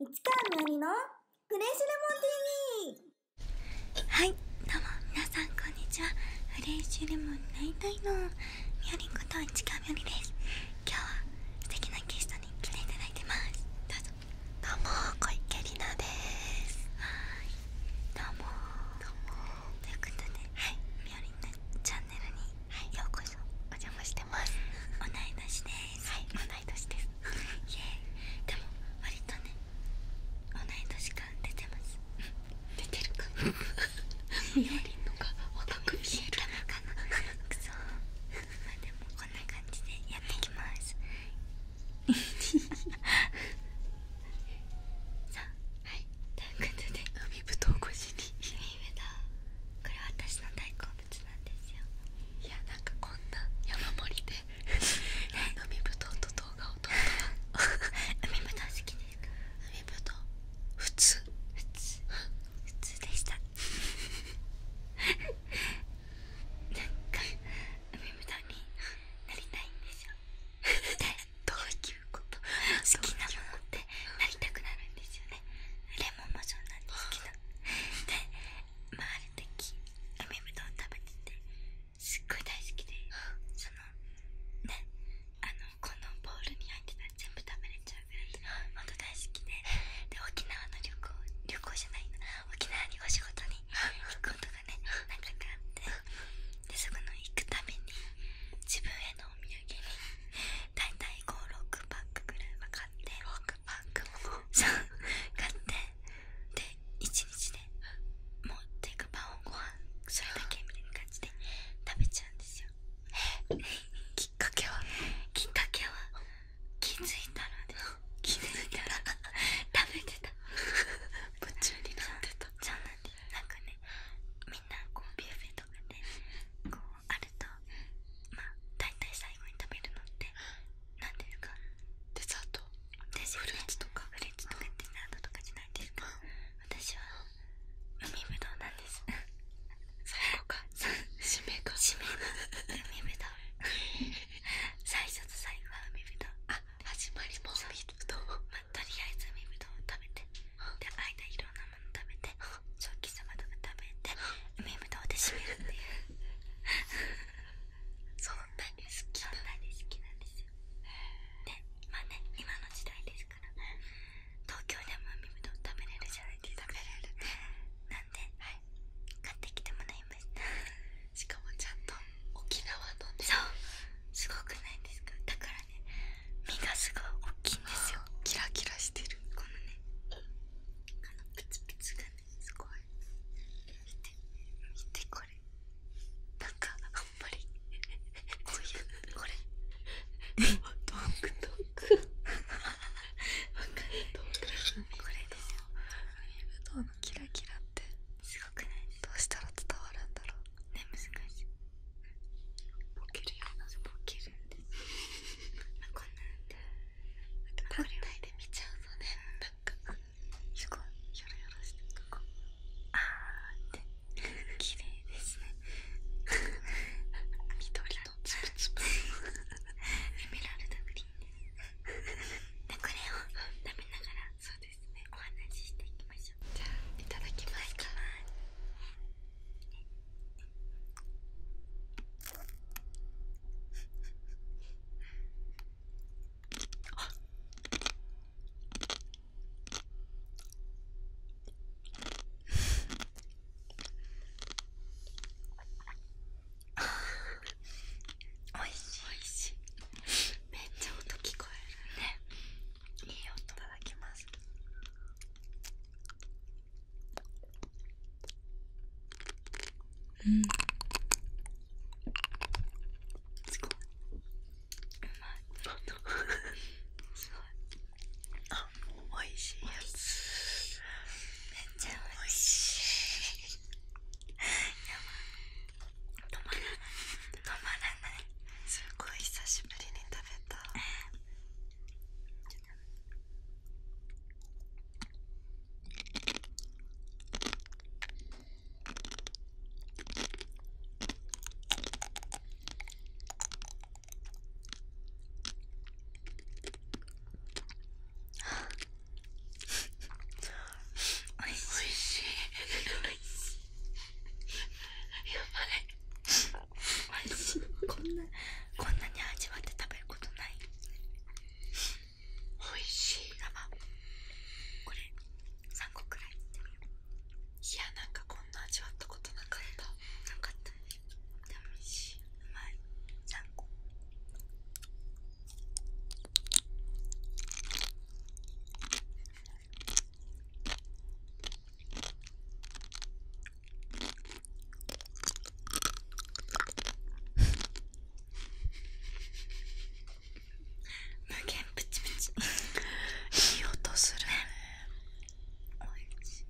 市川のりのフレッシュレモン TV はいどうも皆さんこんにちはフレッシュレモンになりのみよりんこと市川よりです今日は素敵なゲストに来ていただいてますどうぞどうも小池里奈ですということで、みよりんのチャンネルにようこそお邪魔してます同い年です、はい、同ですイエも割とね同い年感出てます出てるかなみおりんのが若く見えるかなくそまあでもこんな感じでやっていきます さあはいということで海ぶどう越しに君上だ、これは私の大根すいやなんかこんな山盛りで海ぶどうと動画を撮った海ぶ好きで海ぶどう普通普通普通でしたなんか海ぶどうになりたいんですよ どういうこと好きなものってなりたくなるんですよねレモンもそうなんですけどでまあある時海ぶどう食べててすっごい大好きでそのねあのこのボールに入ってたら全部食べれちゃうぐらいほんと大好きでで沖縄の旅行旅行じゃないの沖縄にお仕事に行くことがね何回かあってでそこの行くために自分へのお土産に大体56パックぐらいは買って。クパンク買ってで一日でもうテイパンをご飯それだけみたいな感じで食べちゃうんですよきっかけはきっかけは気づいたらで気づいたら食べてた 夢中になってたじゃなんでなんかねみんなこうビュッフェとかでこうあるとまあ大体最後に食べるのって何ていうかデザートフルーツとかフルーツとかデザートとかじゃないですか私は海ぶどうなんです最後か締めか締めの海ぶどう最初と最後は海ぶどうあ始まりも海とりあえず海ぶどうを食べてで間いろ食べて正気様の食べて海ぶどうで締めるっていうそん好きなんですよでね今の時代ですから東京でも海ぶどう食べれるじゃないですかなんで、買ってきてもらいしかもちゃんと沖縄のそうすごくないですかだからね身がすごい大きいんですよキラキラしてるあのプツプがねすごい見て見てこれなんかあんまりこういうこれトンクトンクわかるトこれですよキラキラってすごくないどうしたら伝わるんだろうね難しいボケるようなボケるんですこんなんで単体で見ちゃうのねなんかすごいしこあーって綺麗ですね緑のつぶつぶエメラルドグリーンですこれを食べながらそうですねお話ししていきましょうじゃあいただきますかいただきますあ。あおいしいおいしいめっちゃ音聞こえるねいい音いただきますうんうまいすごあおいしいやつめっちゃおいしい止まらない止まらないすごい久しぶりに食べたおいしいおいしいやばい美味しいこんなこんなに味わって食べることない美味しい生これ3個くらいいってみよういやなんかこんな味わったことなかったなかったねでも美味しいうまい3個無限プチプチいい音するおいしい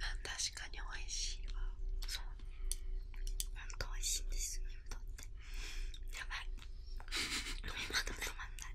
あ確かにおいしいわそうほんとおいしいんですよねってやばい飲み物止まんない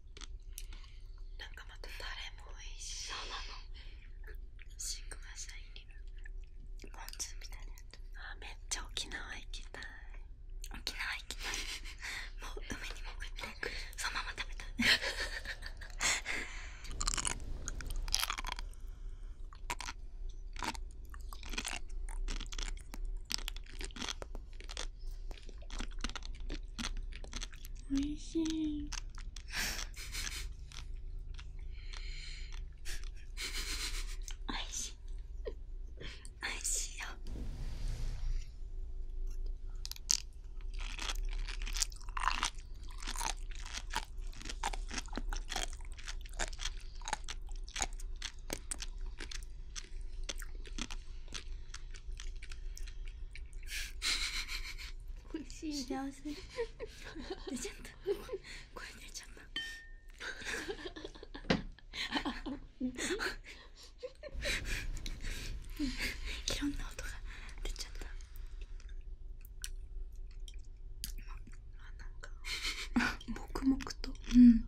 なんかまたタレもおいしいなのシグマシャイニーポみたいなやつあめっちゃ沖縄行きたい沖縄行きたいもう海に潜ってそのまま食べたい おいしいおいしいおいしいよ美しい幸せ出ちゃった声出ちゃったいろんな音が出ちゃったあなんか 黙々とうん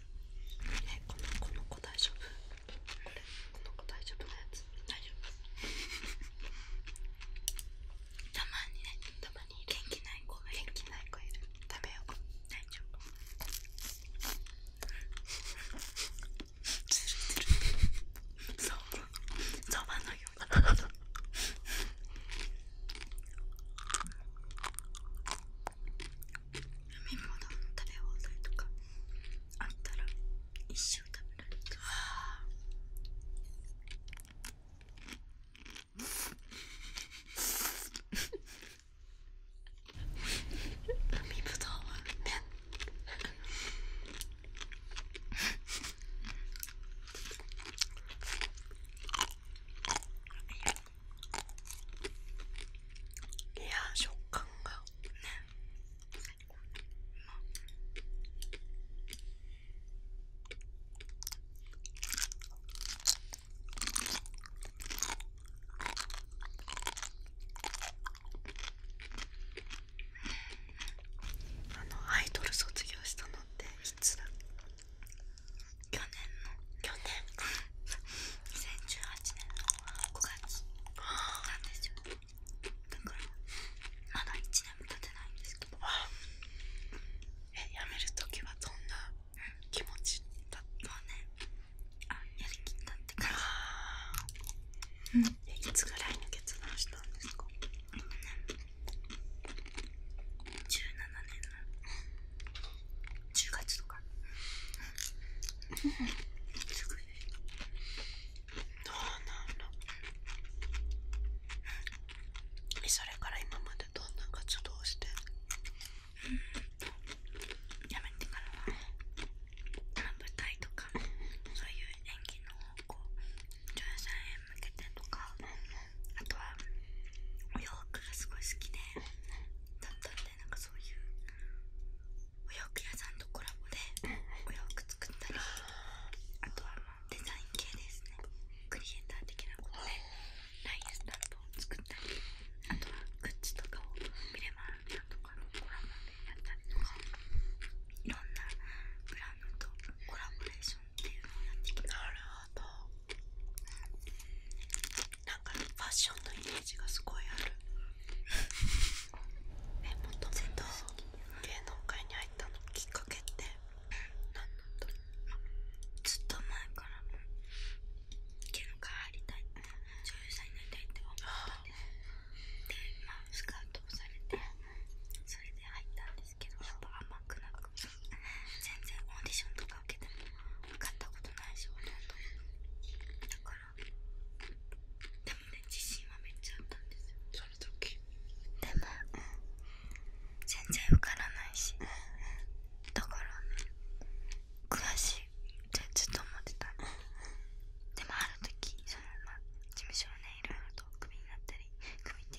ねこのこの子大丈夫これこの子大丈夫なやつ大丈夫たまにねたまに元気ない子が元気ない子いる食べよう大丈夫つるつるそうそばのように飲み物の食べ放題とかあったら一生食べられるわ海ぶどうは麺 いや食感がね最高あのアイドル卒業したのっていつだ去年の去年2018年の5月なんですよだからまだ1年も経ってないんですけどえやめるときはどんな気持ちだったねあやりきったってかじ、いつぐらいに決断したんですか、ね、17年10月とかすごい。どうなんのそれから今までどんな活動をしてやめてからは舞台とかそういう演技の方向女優さんへ向けてとかあとはお洋服がすごい好きでだったんでなんかそういうお洋服屋さんとコラボでお洋服作ったりあとはまあデザイン系ですねクリエイター的なことでラインスタンプを作ったりあとはグッズとかを見れ。マーさんとかのコラボでやったりとかいろんなブランドとコラボレーションっていうのをやってきたなるほどなんかファッションのイメージがすごいある えもともと芸能界に入ったのきっかけってずっと前からも芸能界入りたい女優さんになりたいって思って。んででまスカウトをされてそれで入ったんですけどやっぱ甘くな全然オーディションとか受けても受かったことないしほとんどだからでもね自信はめっちゃあったんですよその時でも、全然受からないし、だからね悔しいってずっと思ってた、でもある時そのまま、事務所のねいろいろとクビになったりクビって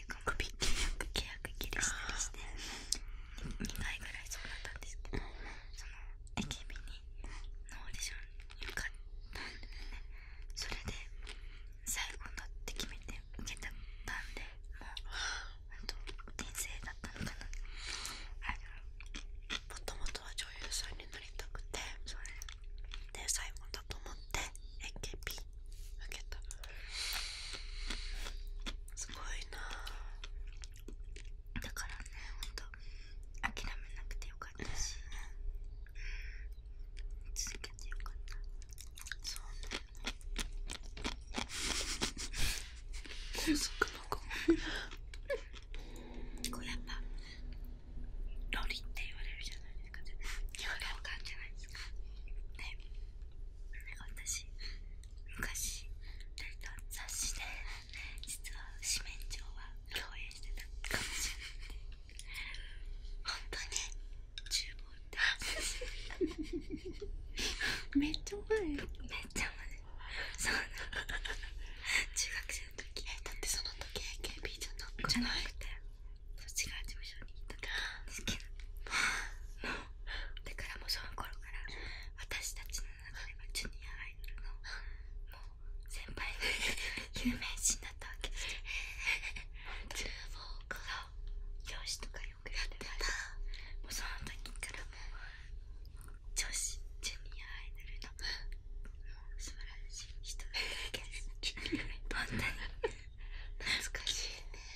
2回ぐらいそうだったんですけどその AKB にのオーディションに受かったんでねそれで最後だって決めて受けたんでもうあと人生だったのかなもともとは女優さんになりたくてそれで最後だと思って AKB 開けたすごいなだからねほんと諦めなくてよかったし、続けてよかったそうね高速の子こうやっぱロリって言われるじゃないですか言われる感じじゃないですかねなんか私昔2人と雑誌で実は四面鳥は共演してたかもしれない本当に厨房ってめっちゃ前めっちゃ前そうな中学生の時だってその時 AKB じゃなくてそっちが事務所に行った時ですけどもうだからもうその頃から私たちの中ではジュニアアイドルのもう先輩が有名になったわけですよ 厨房から教師とかよくやってたもうその時からもう女子ジュニアアイドルの素晴らしい人だったわけです本当に懐かしいね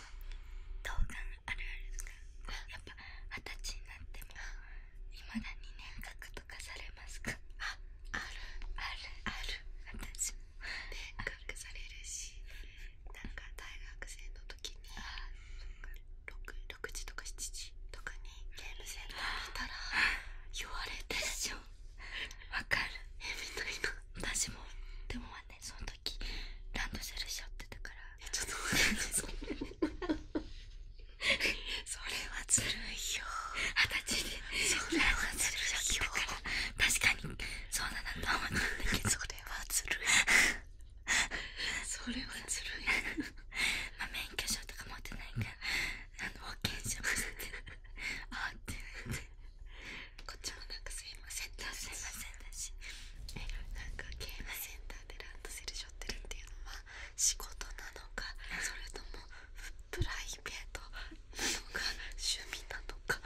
童顔あるあるですかやっぱ二十歳になってもいまだに年額とかされますかああるあるある私も年額されるしなんか大学生の時に 6, 時とか7時とかにゲームセンター見たら言われてるでしょわかるえみたい私もでもねその時ランドセルしちゃってたからそれはずるいよ確かにそうなと思ったんだけはずるいそれはずるいまあ免許証とか持ってないからあの保険証もしてあってなってこっちもなんかすいませんすいませんだしえなんかゲームセンターでランドセルしょってるっていうのは仕事なのかそれともプライベートなのか趣味なのか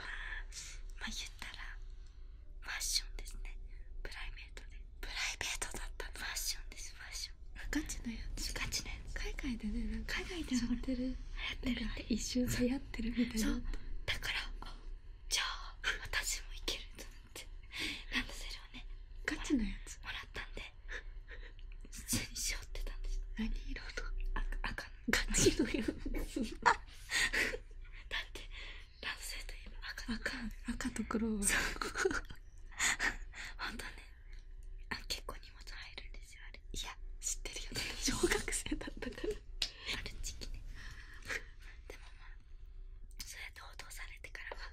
まあ言ったらファッションですねプライベートでプライベートだったのファッションですファッションガチのやつガチのやつ海外でね海外でやってるやってるそうだからじゃあ私もいけるとってランドセルをねガチのやつもらったんで普通にしょってたんです何色のあ赤ガチのやつ だってランドセルといえば赤赤赤と黒はそうほんとねあ結構荷物入るんでいや知ってるよ、小学生だったからある時期ねでもまあそれでってされてからは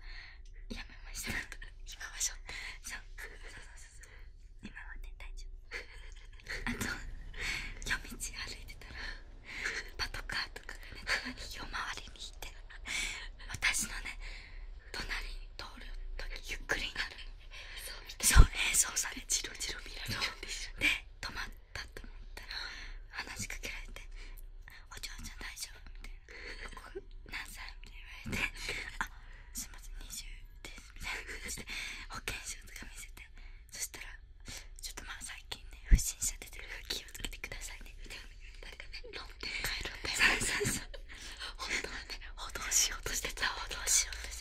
やめましたから今はしそそそそ今はね大丈夫あと夜道歩いてたらパトカーとかがね夜回りに行って私のね隣に通るときゆっくりになるのそうねそうされチロチロ見られるで止まったと思ったら話しかけられて「お嬢ちゃん大丈夫?」みたいな「何歳?」みたいな言われて「あすいません20です」みたいな感じで保険証とか見せてそしたら「ちょっとまあ最近ね不審者出てるから気をつけてくださいね」みたいななんかね論点変えるんだよそうそうそう本当はね報道しようとしてた報道しようとして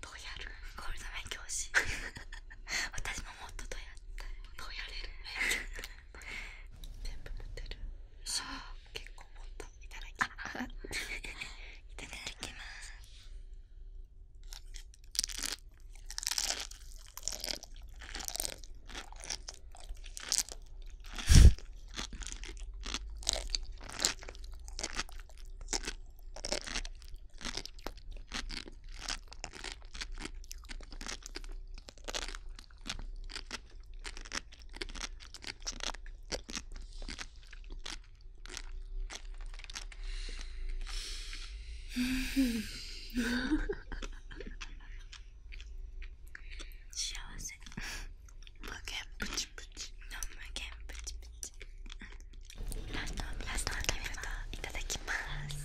どうやるゴールド免し 私ももっとどうやったどうやれる全部持ってるあ結構もっと、いただきます いただきます幸せ無限プチプチ無限プチプチラストラストの食べ物いただきます。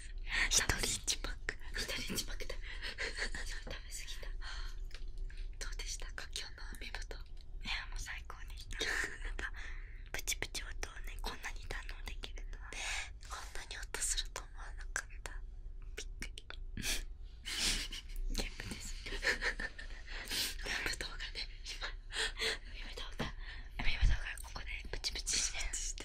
です一人一パック一人一パックだ食べすぎたどうでしたか今日の海ぶどういやも最高でしたやプチプチ音をねこんなに堪能できるこんなに音すると思わなかったびっくりゲームです海ぶどうがね今ぶどがここでプチプチして